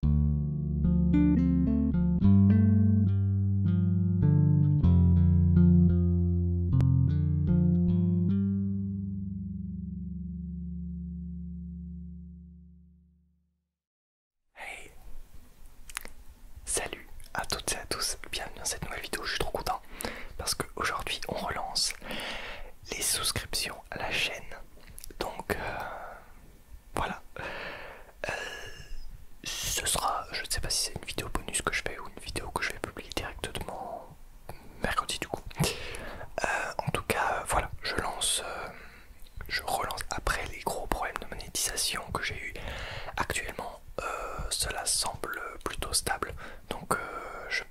Hey Salut à toutes et à tous, bienvenue dans cette nouvelle vidéo, je suis trop content parce qu'aujourd'hui on relance les souscriptions à la chaîne. Donc euh, voilà. Euh, ce sera, je ne sais pas si c'est une vidéo bonus que je fais ou une vidéo que je vais publier directement mercredi du coup. Euh, en tout cas, euh, voilà, je lance, je relance après les gros problèmes de monétisation que j'ai eu actuellement. cela semble plutôt stable, donc je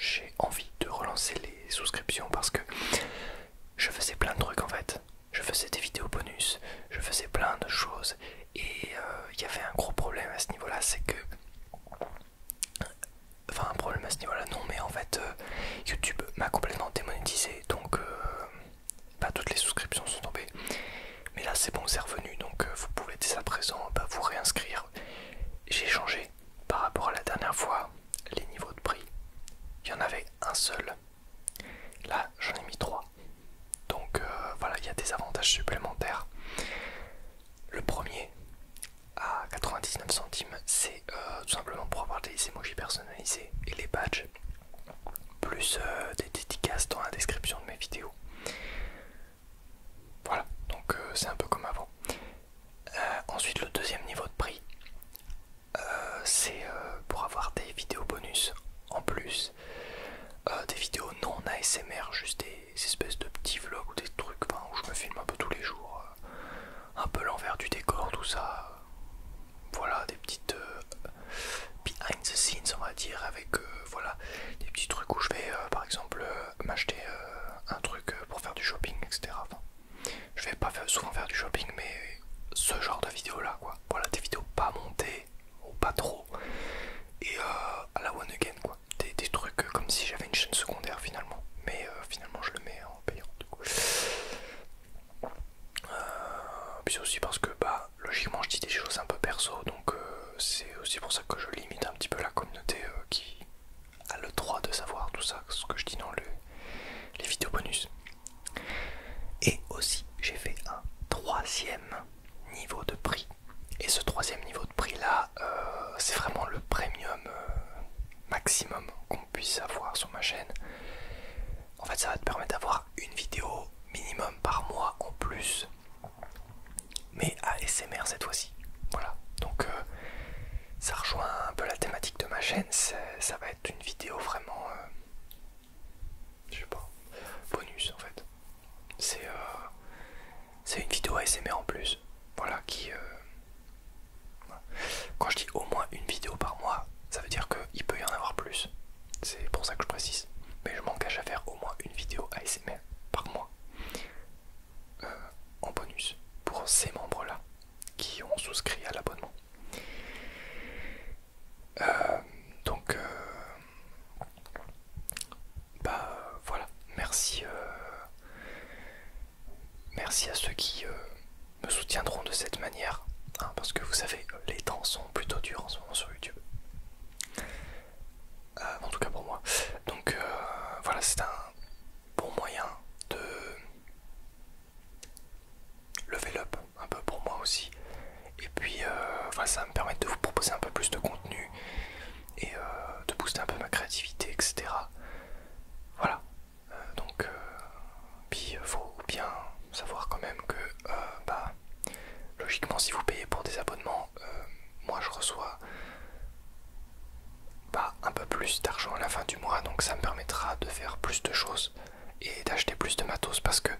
j'ai envie de relancer les souscriptions parce que je faisais plein de trucs en fait. Je faisais des vidéos bonus, je faisais plein de choses et euh, il y avait un gros problème à ce niveau-là, c'est que... Enfin un problème à ce niveau-là, non mais en fait euh, YouTube m'a complètement démonétisé donc euh, pas toutes les souscriptions sont tombées. Mais là c'est bon, c'est revenu donc vous pouvez dès à présent bah, vous réinscrire. J'ai changé par rapport à la dernière fois les niveaux de prix, il y en avait un seul. Là, j'en ai mis trois. Donc euh, voilà, il y a des avantages supplémentaires. Le premier, à 99 centimes, c'est euh, tout simplement pour avoir des emojis personnalisés et les badges, plus euh, des dédicaces dans la description de mes vidéos. Voilà, donc euh, c'est un peu comme avant. Euh, ensuite, le deuxième niveau de prix, euh, c'est pour avoir des vidéos bonus en plus, des vidéos non ASMR, juste des, espèces de petits vlogs ou des trucs où je me filme un peu tous les jours, un peu l'envers du décor, tout ça. Voilà, des petites behind the scenes, on va dire, avec voilà des petits trucs où je vais par exemple m'acheter. Euh, un truc euh, pour faire du shopping, etc. je vais pas souvent faire du shopping, mais ce genre de vidéo là, quoi. Voilà, des vidéos pas montées, ou pas trop, et euh, à la one again, quoi. Des, trucs comme si j'avais une chaîne secondaire finalement, mais finalement je le mets en payant, du coup. puis aussi parce que, bah, logiquement, je dis des choses un peu perso, donc c'est aussi pour ça que je limite un petit peu la communauté euh, qui a le droit de savoir tout ça, ce que je dis dans les vidéos bonus. Et aussi, j'ai fait un troisième niveau de prix. Et ce troisième niveau de prix là, euh, c'est vraiment le premium euh, maximum qu'on puisse avoir sur ma chaîne. En fait, ça va te permettre d'avoir une vidéo minimum par mois en plus mais ASMR cette fois-ci. Voilà. Donc euh, ça rejoint un peu la thématique de ma chaîne. Ça va être une vidéo vraiment... Euh, je sais pas. Bonus en fait. C'est euh, c'est une vidéo ASMR en plus. Voilà qui... Quand je dis au moins une vidéo par mois, ça veut dire qu'il peut y en avoir plus. C'est pour ça que je précise. Mais je m'engage à faire au moins une vidéo ASMR par mois. Euh, en bonus pour ces membres-là qui ont souscrit à l'abonnement. Euh, donc, euh, bah voilà, merci, merci à ceux qui me soutiendront de cette manière, hein, parce que vous savez, les temps sont plutôt durs en ce moment sur YouTube. Euh, en tout cas pour moi. Donc euh, voilà, c'est un bon moyen de level up un peu pour moi aussi. Et puis euh, ça va me permettre de vous proposer un peu plus de contenu et de booster un peu ma créativité, etc. Voilà. donc, il faut bien savoir quand même que bah, Logiquement, si vous payez pour des abonnements, euh, moi je reçois un peu plus d'argent à la fin du mois, donc ça me permettra de faire plus de choses et d'acheter plus de matos parce que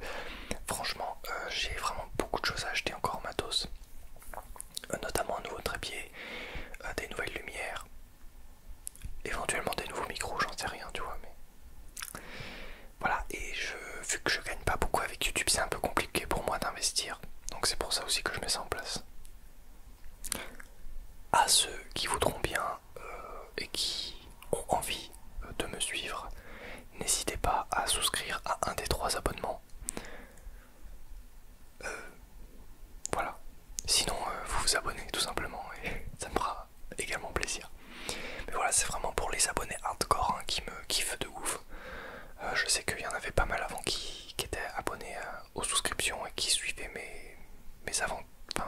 franchement, euh, j'ai vraiment beaucoup de choses à acheter encore en matos, euh, notamment un nouveau trépied, des nouvelles lumières, éventuellement des nouveaux micros, j'en sais rien, tu vois, voilà, et je, vu que je gagne pas beaucoup avec YouTube, c'est un peu compliqué pour moi d'investir. Donc c'est pour ça aussi que je mets ça en place. À ceux qui voudront bien euh, et qui ont envie euh, de me suivre, n'hésitez pas à souscrire à un des trois abonnements. Euh, voilà. Sinon, vous vous abonnez tout simplement et ça me fera également plaisir. Mais voilà, c'est vraiment pour les abonnés hardcore hein, qui me kiffent de ouf. Euh, je sais qu'il y en avait pas mal avant qui, étaient abonnés euh, aux souscriptions et qui suivaient mes, mes, enfin,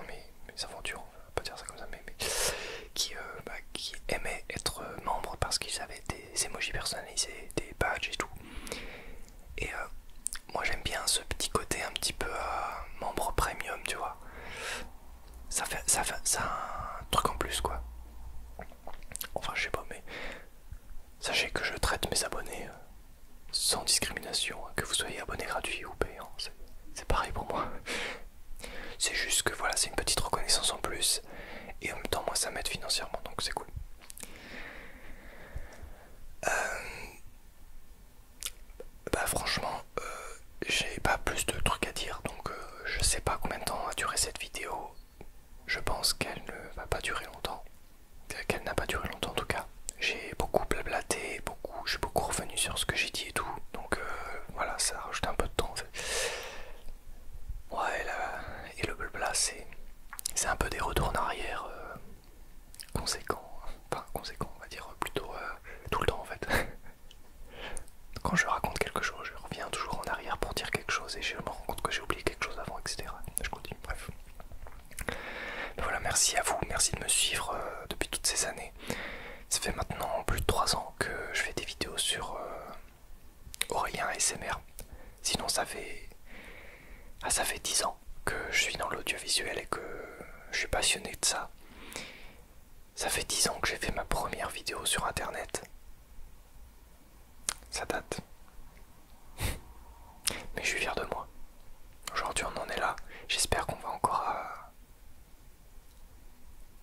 mes, aventures, pas dire ça comme ça, mais, euh, bah, qui, aimaient être membres parce qu'ils avaient des emojis personnalisés, des badges et tout. Et moi j'aime bien ce petit côté un petit peu membre premium, tu vois ça fait, ça fait ça un truc en plus quoi. Enfin je sais pas mais sachez que je traite mes abonnés euh, sans discrimination, hein, que vous soyez abonné gratuit ou payant, c'est pareil pour moi. C'est juste que voilà, c'est une petite reconnaissance en plus et en même temps moi ça m'aide financièrement donc c'est cool. Euh, bah franchement, euh, j'ai pas plus de trucs à dire, donc euh, je sais pas combien de temps a duré cette vidéo. Je pense qu'elle ne va pas durer longtemps. Euh, qu'elle n'a pas duré longtemps en tout cas. J'ai beaucoup blablaté, beaucoup, je suis beaucoup revenu sur ce que j'ai dit et tout. Donc voilà, ça a rajouté un peu de temps Ouais, et le blabla, c'est un peu des retours en arrière conséquent, pas conséquent on va dire plutôt euh, tout le temps en fait. Quand je raconte quelque chose, je reviens toujours en arrière pour dire quelque chose et je me rends compte que j'ai oublié quelque chose avant, etc. Je continue, bref. voilà, merci à vous, merci de me suivre euh, depuis toutes ces années. Ça fait maintenant plus de 3 ans que je fais des vidéos sur euh, rien et SMR. Sinon ça fait... Ah ça fait 10 ans que je suis dans l'audiovisuel et que je suis passionné de ça ça. fait 10 ans que j'ai fait ma première vidéo sur internet. Ça date. Mais je suis fier de moi. Aujourd'hui on en est là. J'espère qu'on va encore euh,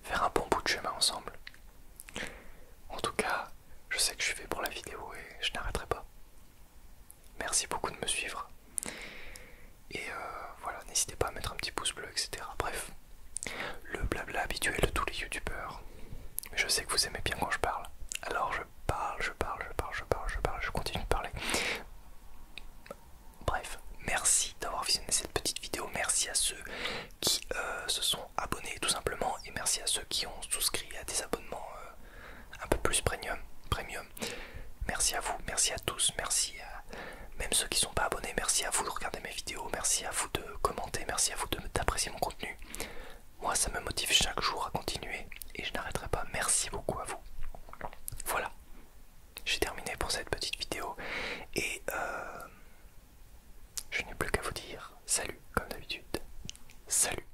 faire un bon bout de chemin ensemble. En tout cas, je sais que je suis fait pour la vidéo et je n'arrêterai pas. Merci beaucoup de me suivre. Et euh, voilà, n'hésitez pas à mettre un petit pouce bleu, etc. Bref, le blabla habituel de tous les youtubeurs. Je sais que vous aimez bien quand je parle. Alors je parle, je parle, je parle, je parle, je parle, je continue de parler. Bref, merci d'avoir visionné cette petite vidéo. Merci à ceux qui euh, se sont abonnés tout simplement. Et merci à ceux qui ont souscrit à des abonnements euh, un peu plus premium Merci à vous, merci à tous, merci à même ceux qui sont pas abonnés, merci à vous de regarder mes vidéos, merci à vous de commenter, merci à vous de d'apprécier mon contenu. Moi ça me motive chaque jour à continuer et je n'arrêterai pas. Merci beaucoup à vous. Voilà, j'ai terminé pour cette petite vidéo et euh, je n'ai plus qu'à vous dire salut comme d'habitude. Salut